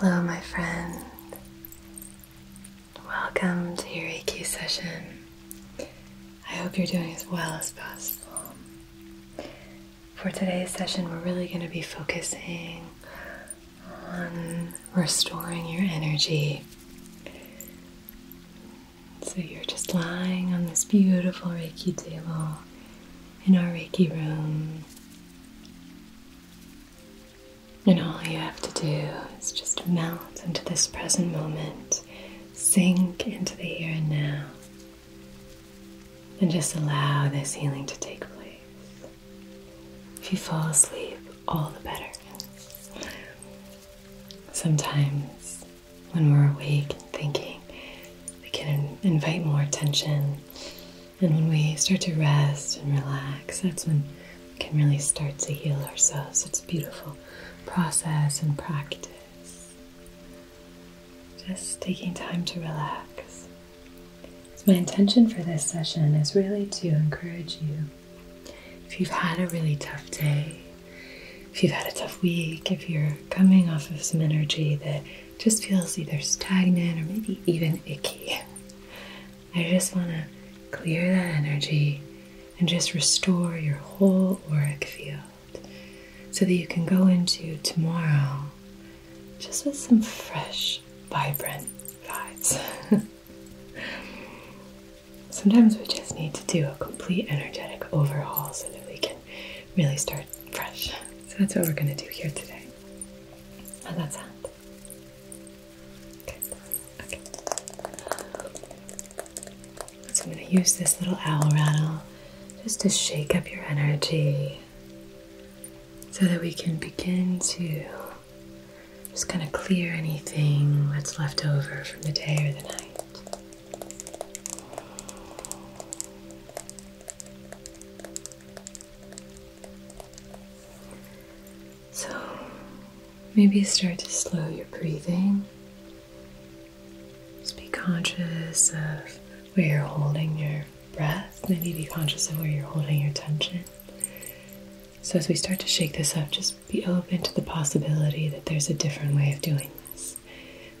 Hello, my friend. Welcome to your Reiki session. I hope you're doing as well as possible. For today's session, we're really going to be focusing on restoring your energy. So you're just lying on this beautiful Reiki table in our Reiki room. And all you have to do is just melt into this present moment, sink into the here and now, and just allow this healing to take place. If you fall asleep, all the better. Sometimes when we're awake and thinking, we can invite more attention. And when we start to rest and relax, that's when can really start to heal ourselves. It's a beautiful process and practice. Just taking time to relax. my intention for this session is really to encourage you. If you've had a really tough day, if you've had a tough week, if you're coming off of some energy that just feels either stagnant or maybe even icky, I just want to clear that energy and just restore your whole auric field so that you can go into tomorrow just with some fresh, vibrant vibes. Sometimes we just need to do a complete energetic overhaul so that we can really start fresh. So that's what we're going to do here today. How's that sound? So I'm going to use this little owl rattle just to shake up your energy so that we can begin to just kind of clear anything that's left over from the day or the night. So maybe start to slow your breathing. Just be conscious of where you're holding your breath. Maybe be conscious of where you're holding your tension. So, as we start to shake this up, just be open to the possibility that there's a different way of doing this.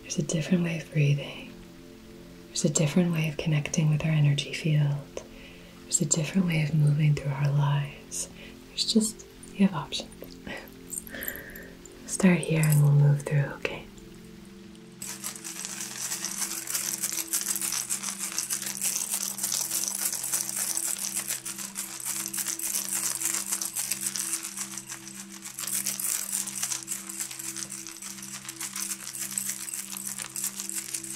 There's a different way of breathing. There's a different way of connecting with our energy field. There's a different way of moving through our lives. There's just, you have options. Start here and we'll move through, okay?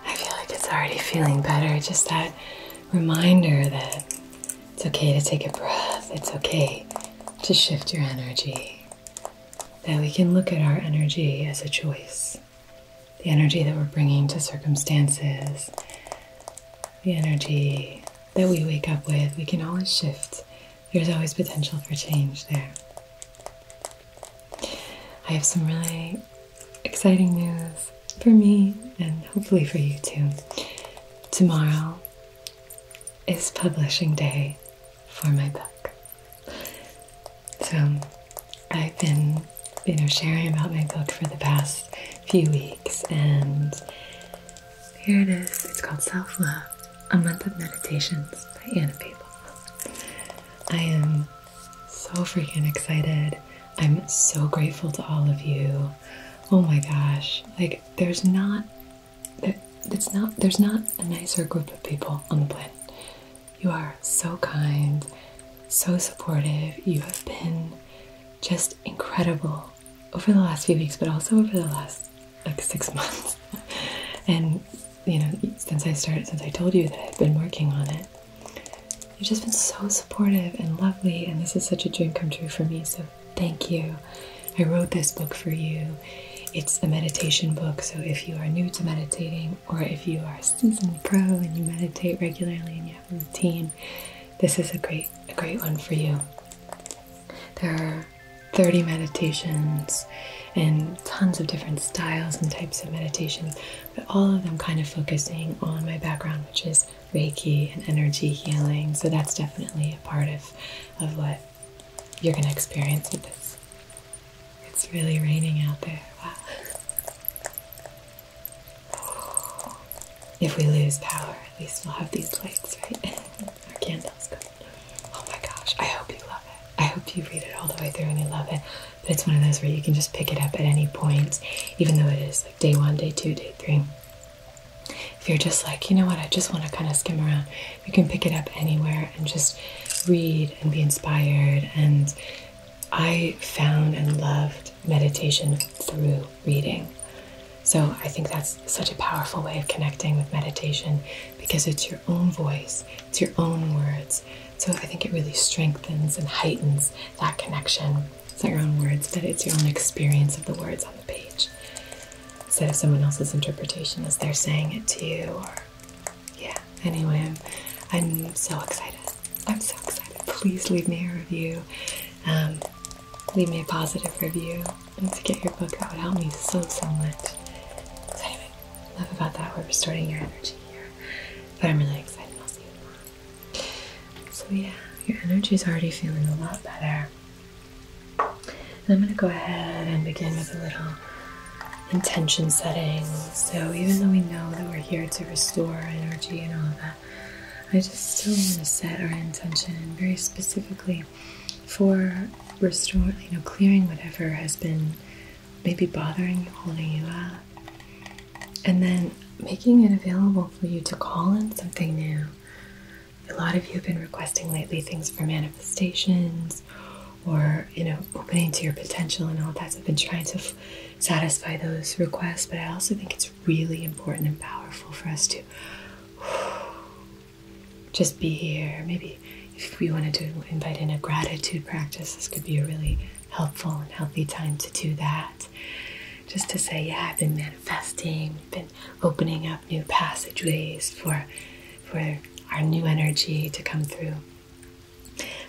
I feel like it's already feeling better. Just that reminder that it's okay to take a breath, it's okay to shift your energy, that we can look at our energy as a choice. The energy that we're bringing to circumstances, the energy that we wake up with, we can always shift. There's always potential for change there. I have some really exciting news for me and hopefully for you too. Tomorrow is publishing day for my book. So I've been you know sharing about my book for the past few weeks, and here it is. It's called Self Love A Month of Meditations by Anna People. I am so freaking excited. I'm so grateful to all of you. Oh my gosh, like, there's not. It's not there's not a nicer group of people on the planet. You are so kind, so supportive. You have been just incredible over the last few weeks, but also over the last like six months. and you know, since I started, since I told you that I've been working on it, you've just been so supportive and lovely. And this is such a dream come true for me. So thank you. I wrote this book for you. It's a meditation book, so if you are new to meditating or if you are seasoned pro and you meditate regularly and you routine, this is a great a great one for you. There are 30 meditations and tons of different styles and types of meditations, but all of them kind of focusing on my background, which is Reiki and energy healing. So that's definitely a part of, of what you're going to experience with this. It's really raining out there. Wow. If we lose power, at least we'll have these lights, right? Our candles. go. Oh my gosh, I hope you love it. I hope you read it all the way through and you love it. But it's one of those where you can just pick it up at any point, even though it is like day one, day two, day three. If you're just like, you know what, I just want to kind of skim around, you can pick it up anywhere and just read and be inspired and I found and loved meditation through reading. So I think that's such a powerful way of connecting with meditation because it's your own voice, it's your own words. So I think it really strengthens and heightens that connection. It's not your own words, but it's your own experience of the words on the page instead of someone else's interpretation as they're saying it to you. Or yeah. Anyway, I'm I'm so excited. I'm so excited. Please leave me a review. Um, leave me a positive review. And to get your book, that would help me so, so much. So, anyway, love about that. We're restoring your energy here. But I'm really excited. I'll see you tomorrow. So, yeah, your energy is already feeling a lot better. And I'm going to go ahead and begin with a little intention setting. So, even though we know that we're here to restore energy and all of that, I just still want to set our intention very specifically for restoring, you know, clearing whatever has been maybe bothering you, holding you up, and then making it available for you to call in something new. A lot of you have been requesting lately things for manifestations or, you know, opening to your potential and all that. I've been trying to satisfy those requests, but I also think it's really important and powerful for us to just be here. Maybe if we wanted to invite in a gratitude practice, this could be a really helpful and healthy time to do that. Just to say, yeah, I've been manifesting, been opening up new passageways for for our new energy to come through.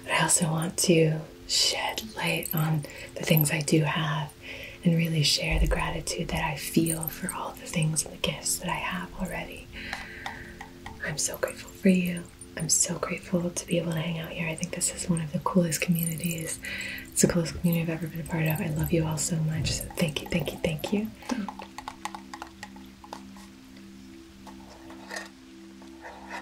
But I also want to shed light on the things I do have and really share the gratitude that I feel for all the things and the gifts that I have already. I'm so grateful for you. I'm so grateful to be able to hang out here. I think this is one of the coolest communities. It's the coolest community I've ever been a part of. I love you all so much. thank you, thank you, thank you.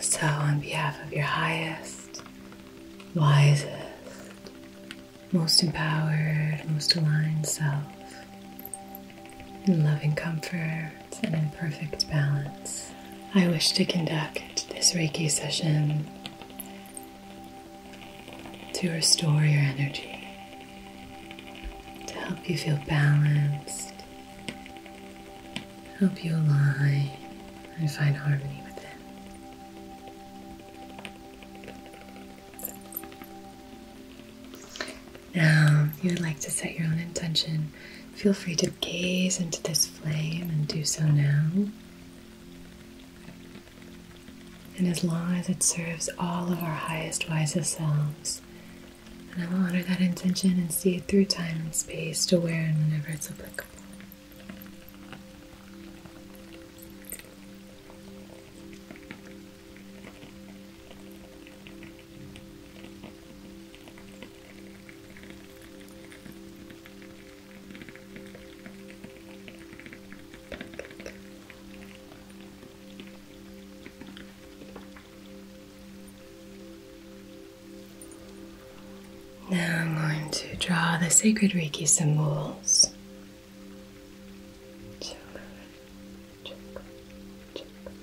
So, on behalf of your highest, wisest, most empowered, most aligned self, in loving comfort, it's an imperfect balance. I wish to conduct this Reiki session to restore your energy, to help you feel balanced, help you align and find harmony within. Now, you would like to set your own intention Feel free to gaze into this flame and do so now. And as long as it serves all of our highest, wisest selves, and I will honor that intention and see it through time and space to where and whenever it's applicable. Now I'm going to draw the sacred Reiki symbols.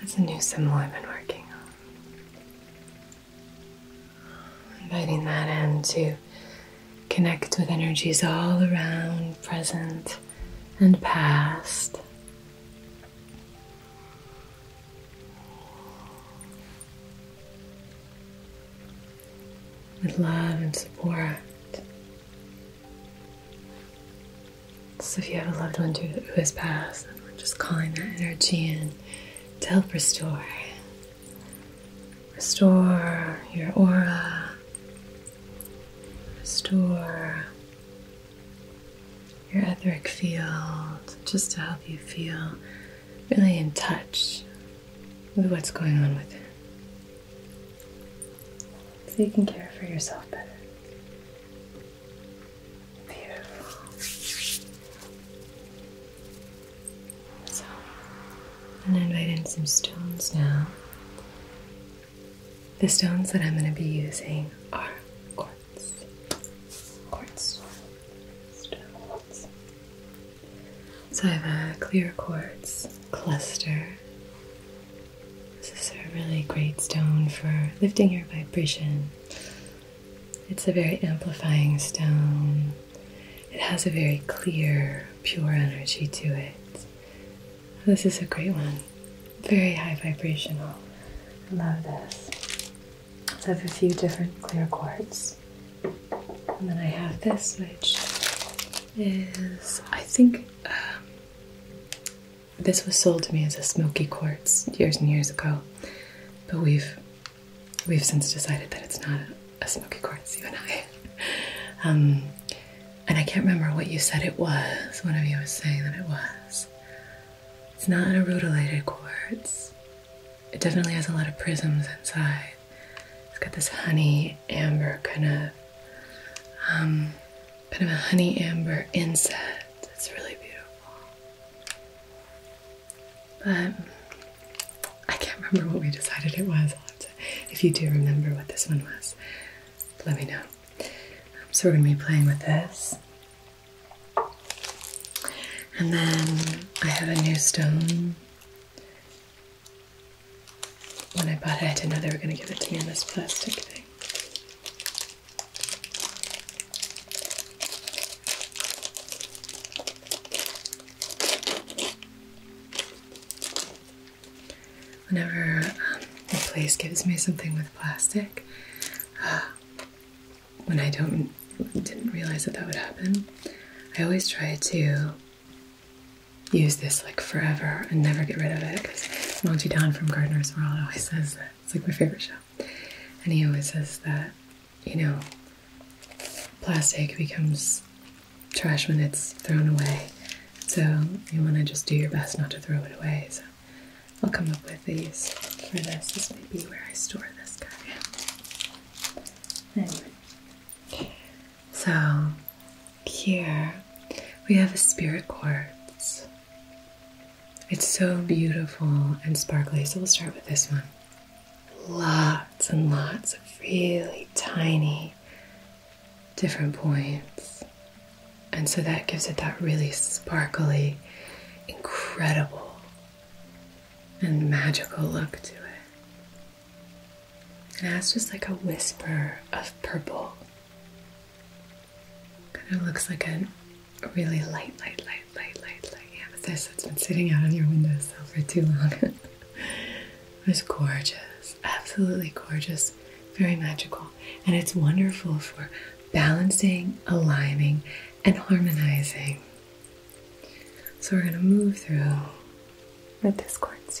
That's a new symbol I've been working on. Inviting that in to connect with energies all around, present and past. With love and support so if you have a loved one who has passed, and we're just calling that energy in to help restore. Restore your aura. Restore your etheric field, just to help you feel really in touch with what's going on with within so you can care for yourself better. Beautiful. So, I'm going to invite in some stones now. The stones that I'm going to be using are quartz. Quartz stones. So I have a clear quartz cluster this is a really great stone for lifting your vibration. It's a very amplifying stone. It has a very clear, pure energy to it. This is a great one. Very high vibrational. I love this. I have a few different clear quartz. And then I have this, which is, I think, um, this was sold to me as a smoky quartz years and years ago, but we've we've since decided that it's not a, smoky quartz. You and I, um, and I can't remember what you said it was. One of you was saying that it was. It's not an arutilated quartz. It definitely has a lot of prisms inside. It's got this honey amber kind of um, kind of a honey amber inset. It's really beautiful. But I can't remember what we decided it was. if you do remember what this one was, let me know. Um, so we're going to be playing with this. And then I have a new stone when I bought it, I didn't know they were going to give it to me in this plastic thing. Whenever um, place gives me something with plastic, uh, when I don't didn't realize that that would happen, I always try to use this like forever and never get rid of it because Monty Don from Gardener's World always says It's like my favorite show. And he always says that, you know, plastic becomes trash when it's thrown away. So you want to just do your best not to throw it away. So I'll come up with these for this. This may be where I store this guy. Anyway, so here we have a spirit quartz. It's so beautiful and sparkly. So we'll start with this one. Lots and lots of really tiny different points. And so that gives it that really sparkly, incredible, and magical look to it. And that's just like a whisper of purple. Kind of looks like a really light, light, light, light, light, light amethyst that's been sitting out on your windowsill for too long. It's gorgeous, absolutely gorgeous, very magical. And it's wonderful for balancing, aligning, and harmonizing. So we're going to move through with this quartz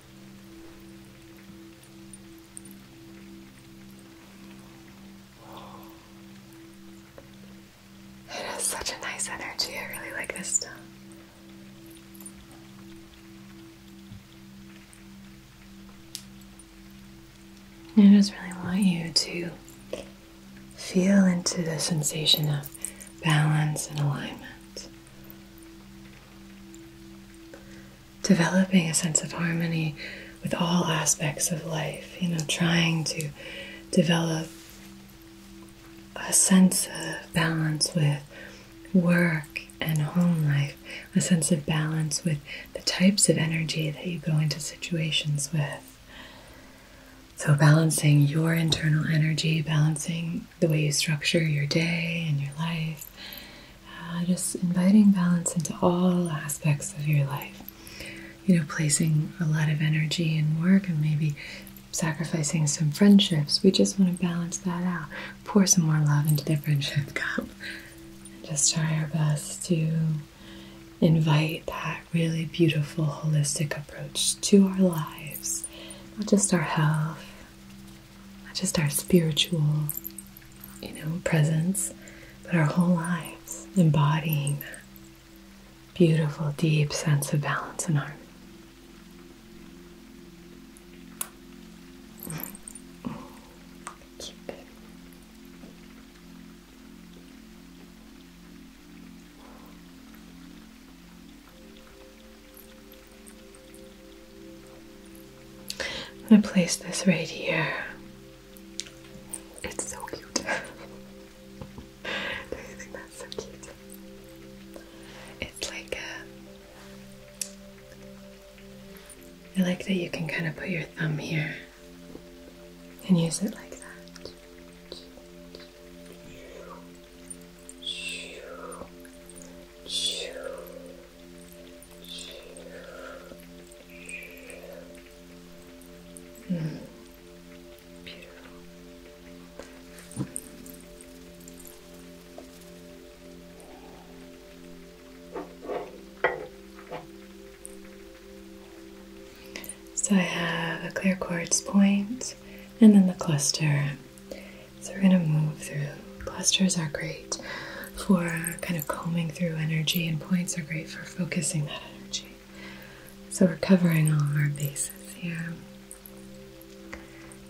It has such a nice energy. I really like this stone. I just really want you to feel into the sensation of balance and alignment. Developing a sense of harmony with all aspects of life, you know, trying to develop a sense of balance with work and home life, a sense of balance with the types of energy that you go into situations with. So, balancing your internal energy, balancing the way you structure your day and your life. Uh, just inviting balance into all aspects of your life. You know, placing a lot of energy in work and maybe sacrificing some friendships. We just want to balance that out. Pour some more love into the friendship cup. And just try our best to invite that really beautiful holistic approach to our lives, not just our health not just our spiritual, you know, presence, but our whole lives embodying that beautiful, deep sense of balance and harmony. I'm gonna place this right here. It's so cute. do you think that's so cute? It's like a. I like that you can kind of put your thumb here and use it like that. Mm. Beautiful. So I have a clear quartz point and then the cluster so we're going to move through. Clusters are great for kind of combing through energy, and points are great for focusing that energy. So we're covering all of our bases here.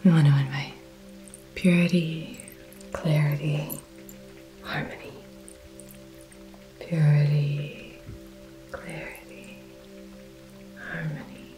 We want to invite purity, clarity, harmony. Purity, clarity, harmony.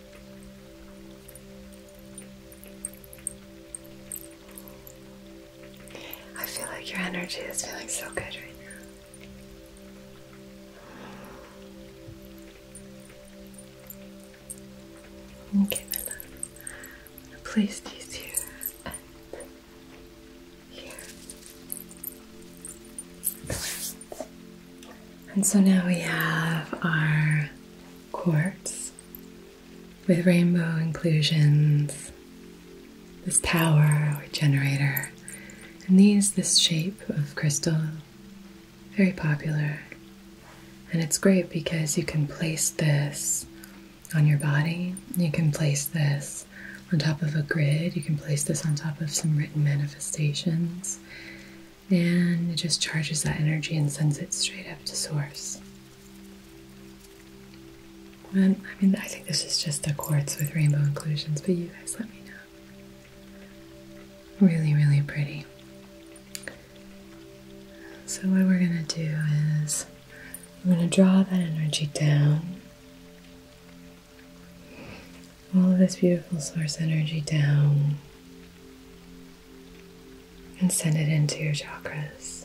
I feel like your energy is feeling so good right now. Okay, my love. Place these here and here. And so now we have our quartz with rainbow inclusions, this tower or generator, and these, this shape of crystal, very popular. And it's great because you can place this on your body, you can place this on top of a grid, you can place this on top of some written manifestations and it just charges that energy and sends it straight up to source. And I mean, I think this is just a quartz with rainbow inclusions, but you guys let me know. Really, really pretty. So, what we're gonna do is we're gonna draw that energy down all of this beautiful source energy down and send it into your chakras.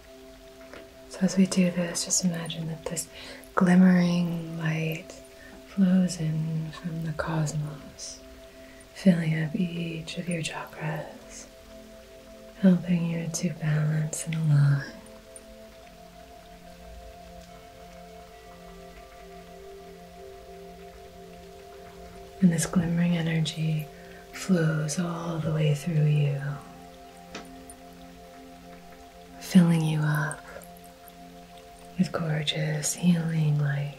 So, as we do this, just imagine that this glimmering light flows in from the cosmos, filling up each of your chakras, helping you to balance and align. And this glimmering energy flows all the way through you, filling you up with gorgeous healing light.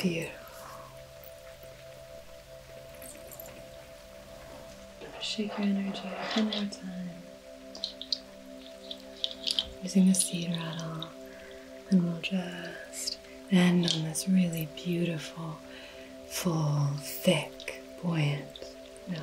Beautiful. Shake your energy one more time. Using a seed rattle, and we'll just end on this really beautiful, full, thick, buoyant note.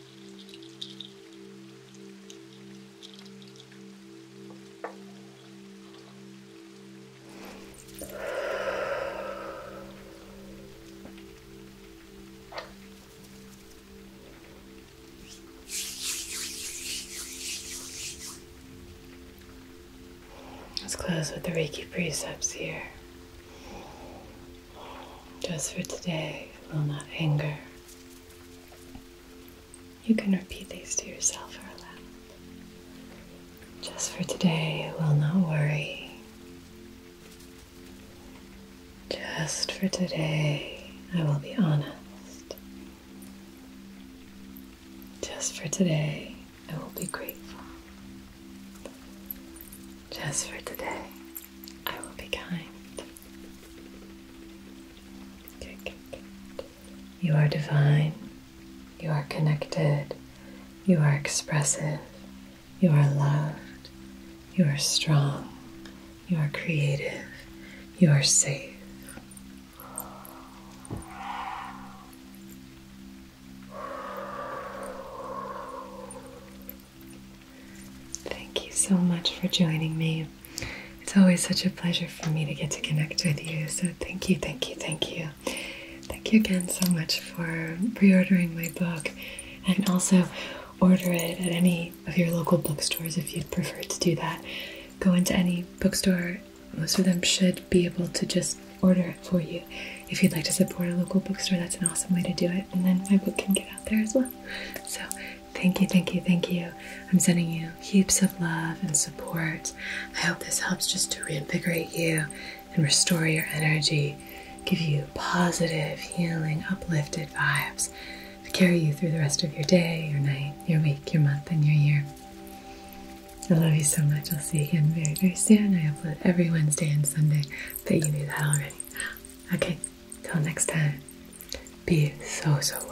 Let's close with the Reiki precepts here. Just for today, I will not anger. You can repeat these to yourself or aloud. Just for today, I will not worry. Just for today, I will be honest. Just for today, I will be grateful. Just for today, I will be kind. You are divine. You are connected. You are expressive. You are loved. You are strong. You are creative. You are safe. Thank you so much for joining me. It's always such a pleasure for me to get to connect with you. So thank you, thank you, thank you. Thank you again so much for pre-ordering my book and also order it at any of your local bookstores if you'd prefer to do that. Go into any bookstore. Most of them should be able to just order it for you. If you'd like to support a local bookstore, that's an awesome way to do it. And then my book can get out there as well so thank you, thank you, thank you. I'm sending you heaps of love and support. I hope this helps just to reinvigorate you and restore your energy, give you positive, healing, uplifted vibes to carry you through the rest of your day, your night, your week, your month, and your year. I love you so much. I'll see you again very, very soon. I upload every Wednesday and Sunday, but you knew that already. Okay, Till next time, be so, so well.